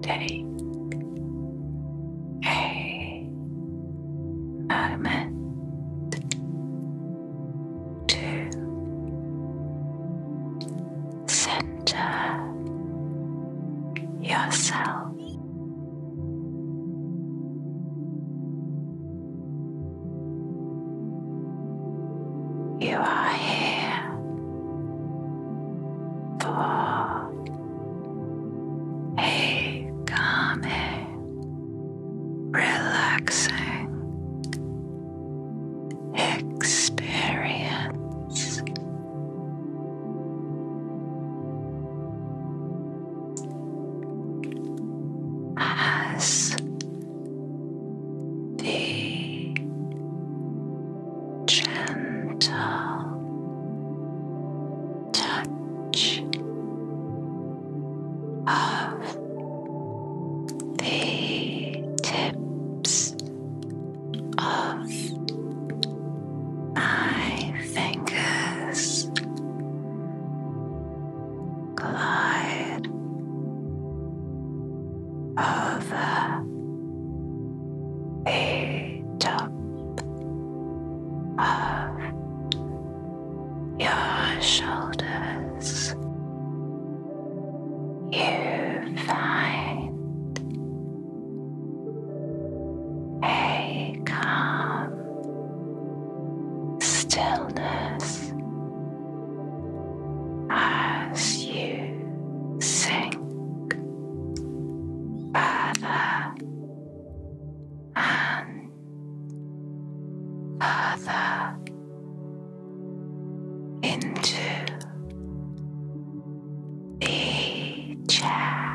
Take a moment to center yourself you are here for a calming, relaxing experience as the gentle touch of the tips of my fingers glide over the top of your shoulders. You find a calm stillness as you sink further and further into the chair.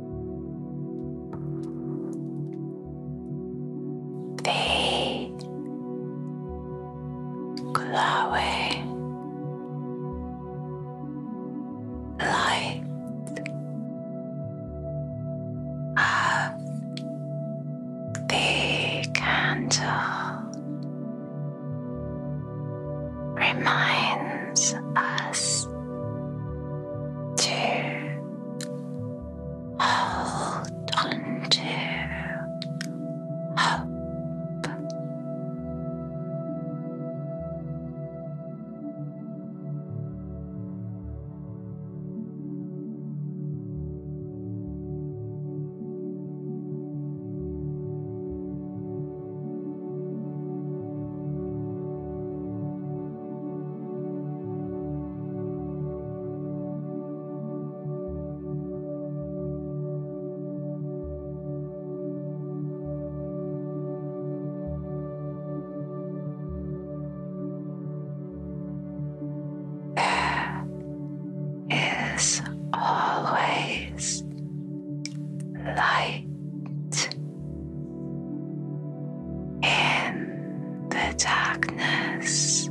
the glowing light of the candle reminds us to hold on hope is always light in the darkness.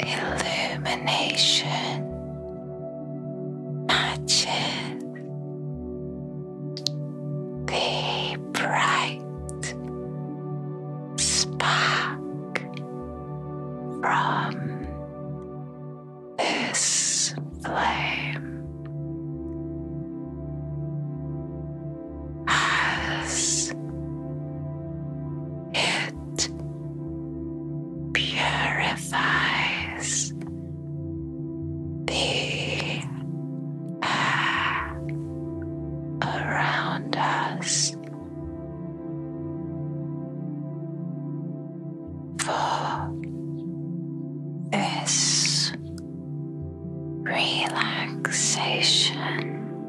illumination matches the bright spark from this flame. As it purifies the air around us. For this relaxation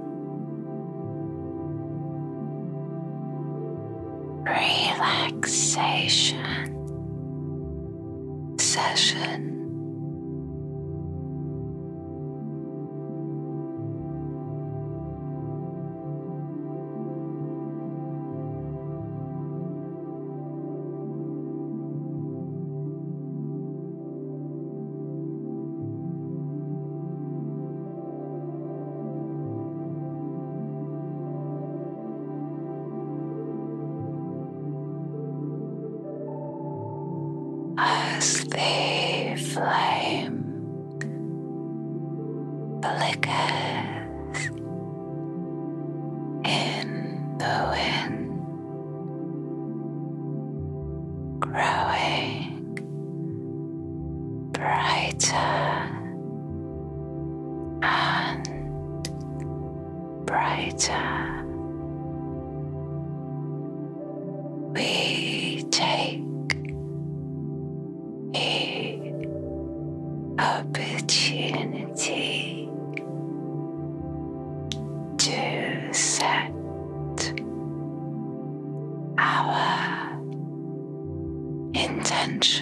relaxation session. As the flame flickers in the wind, growing brighter and brighter. We take the opportunity to set our intentions.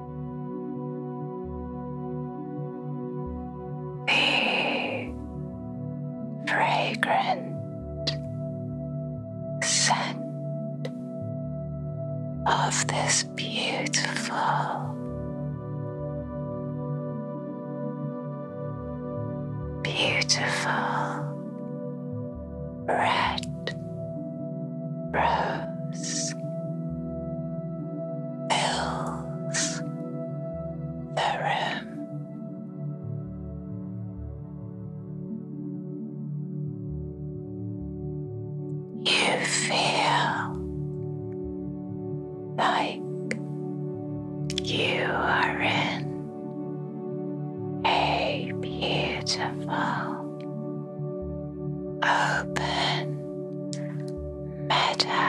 the fragrant scent of this beautiful. Beautiful red rose fills the room. You feel like you are in a beautiful open matter.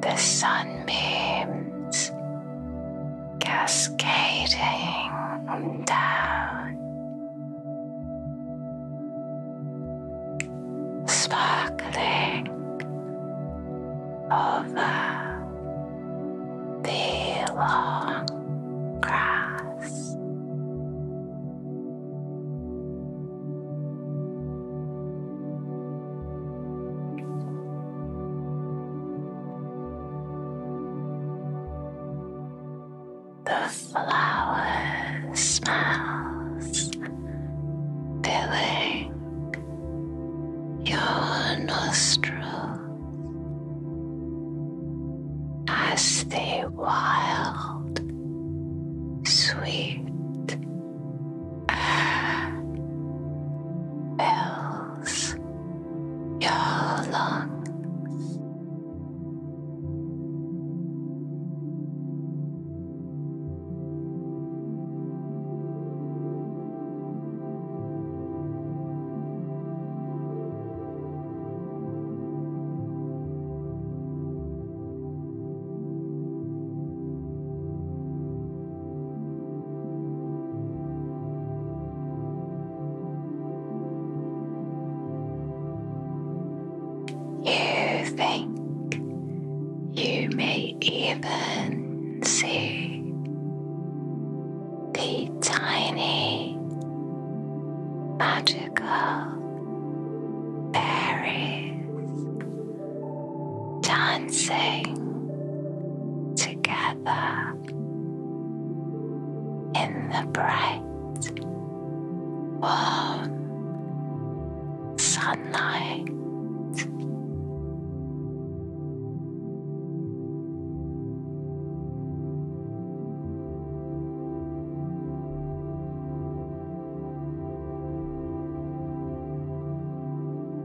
the sunbeams cascading down, sparkling over the long grass. The flower smells, filling your nostrils as the wild, sweet fills your lungs. You think you may even see the tiny magical berries dancing together in the bright, warm sunlight.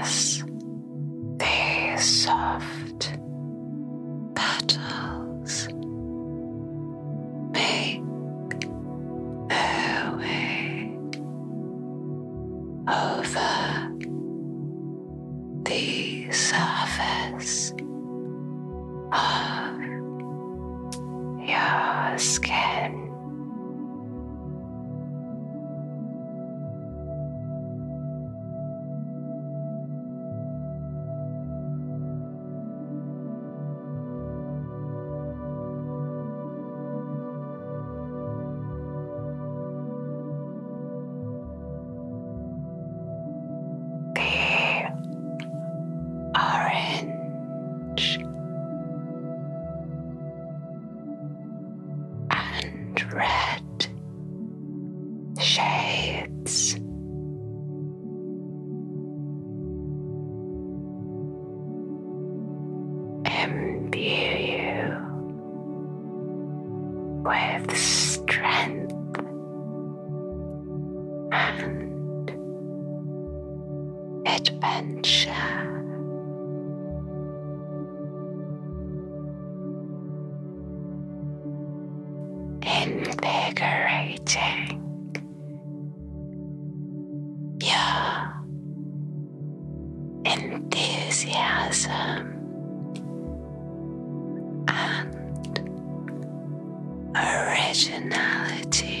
As they soft petals make their way over the surface of your skin. The orange and red lit shades. Imbue you with strength and adventure invigorating. Your enthusiasm and originality.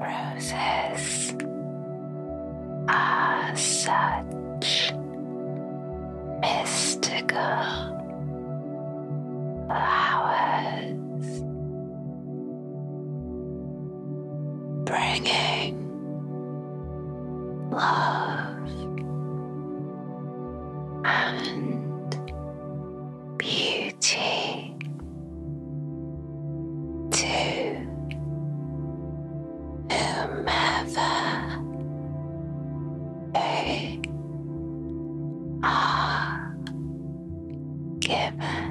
Roses are such mystical flowers, bringing love and beauty three, two, whomever they are given.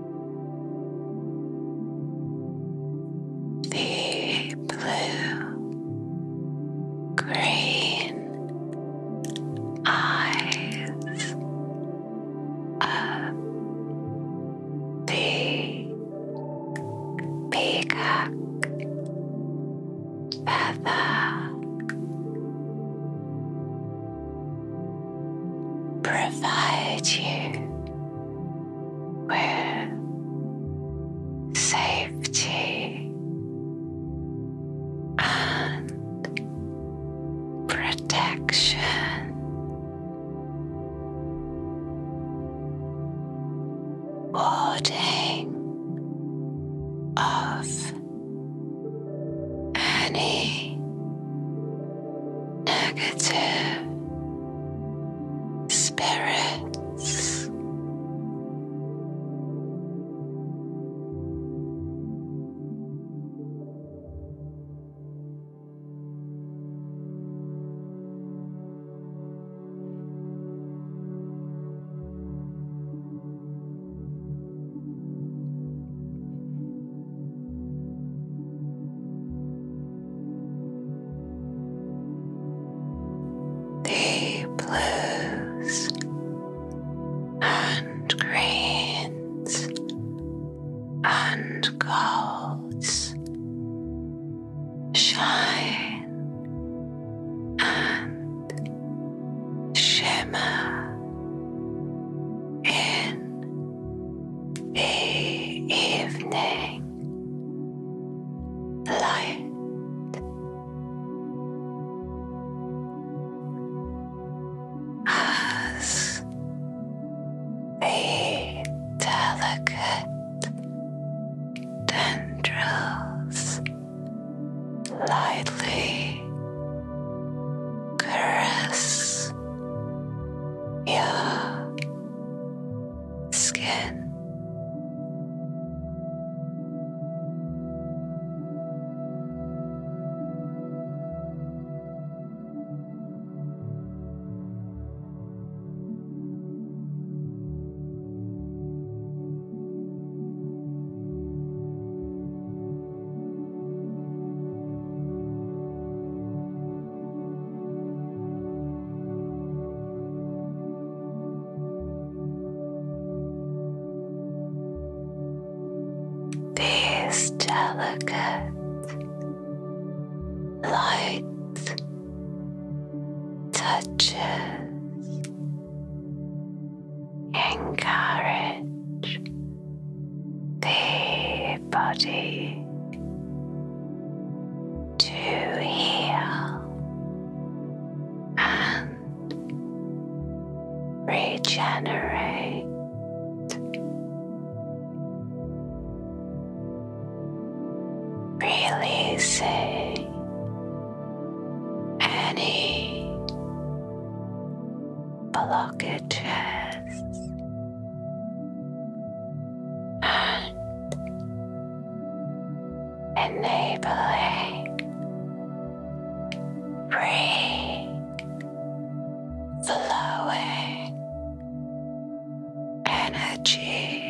the blue green eyes of the peacock feather provide you with safety and protection. Warding of any negative spirits. The blues and greens and golds shine and shimmer in evening light. As the delicate tendrils lightly caress your skin. This delicate light touches encourage the body to heal and regenerate. Releasing any blockages enabling free flowing energy.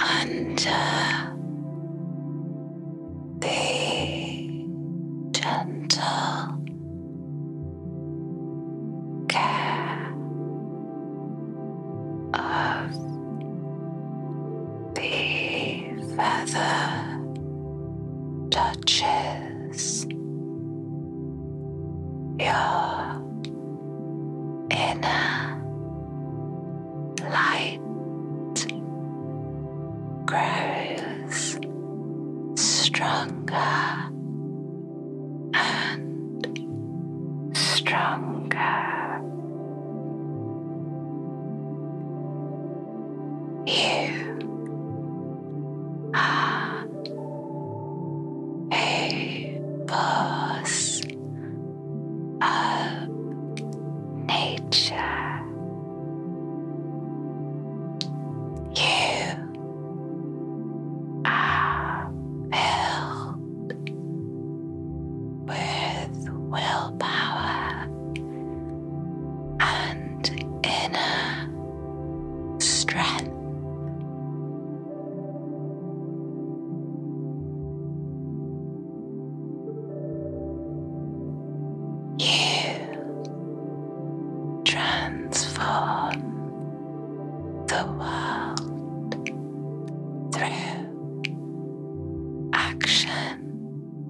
Under the gentle care of the feather touches your inner light grows stronger and stronger you are a force of nature. You are filled with willpower and inner strength. You transform the world through action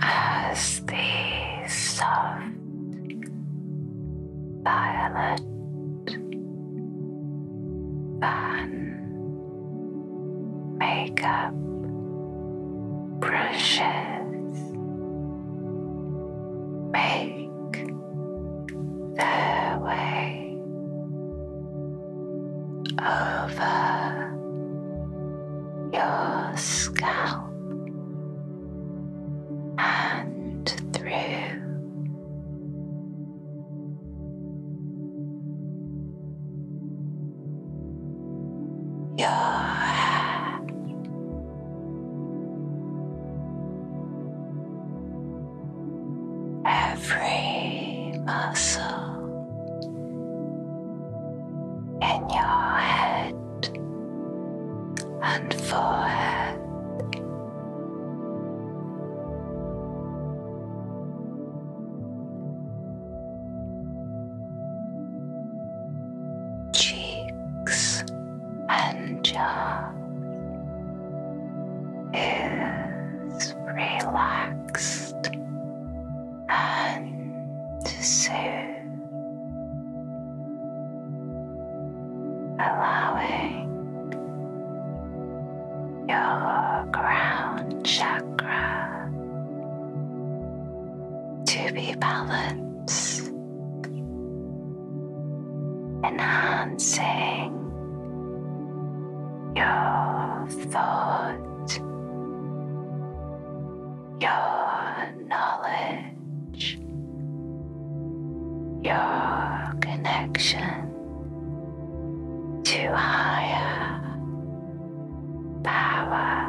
as the soft violet fan makeup brushes make their way over your scalp and through. Your hair every muscle in your head and forehead. Cheeks and jaw is relaxed relaxed and soothed, allowing your crown chakra to be balanced, enhancing your thoughts your knowledge, your connection to higher power.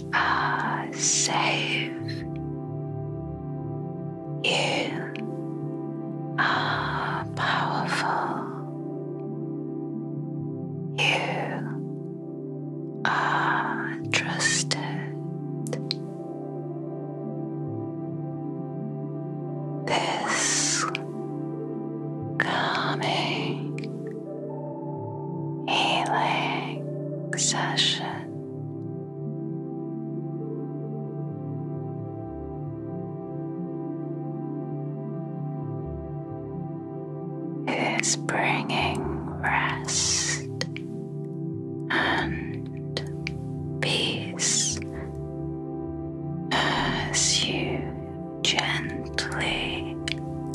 are safe. You are powerful. You are trusted. This calming healing session sun. It is bringing rest and peace as you gently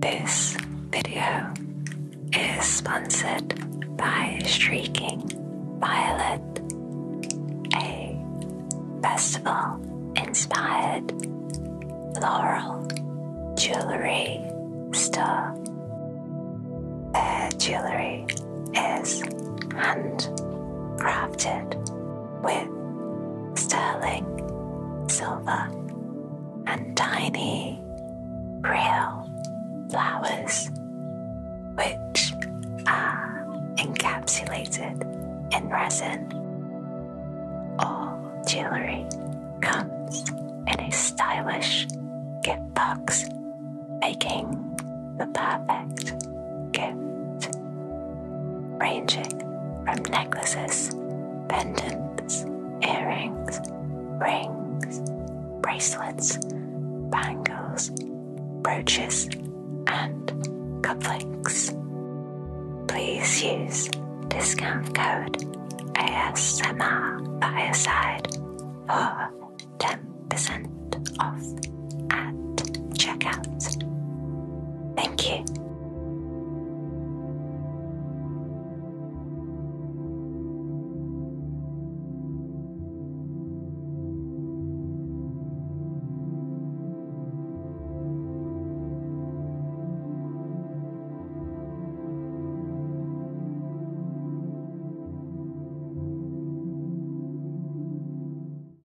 This video is sponsored by Streaking Violet, a festival inspired floral jewelry store. Their jewelry is handcrafted with sterling silver and tiny real flowers, which are encapsulated in resin. All jewelry comes in a stylish gift box, making the perfect gift, ranging from necklaces, pendants, earrings, rings, bracelets, bangles, brooches, and cufflinks. Please use discount code ASMR side for 10% off at checkout. Thank you.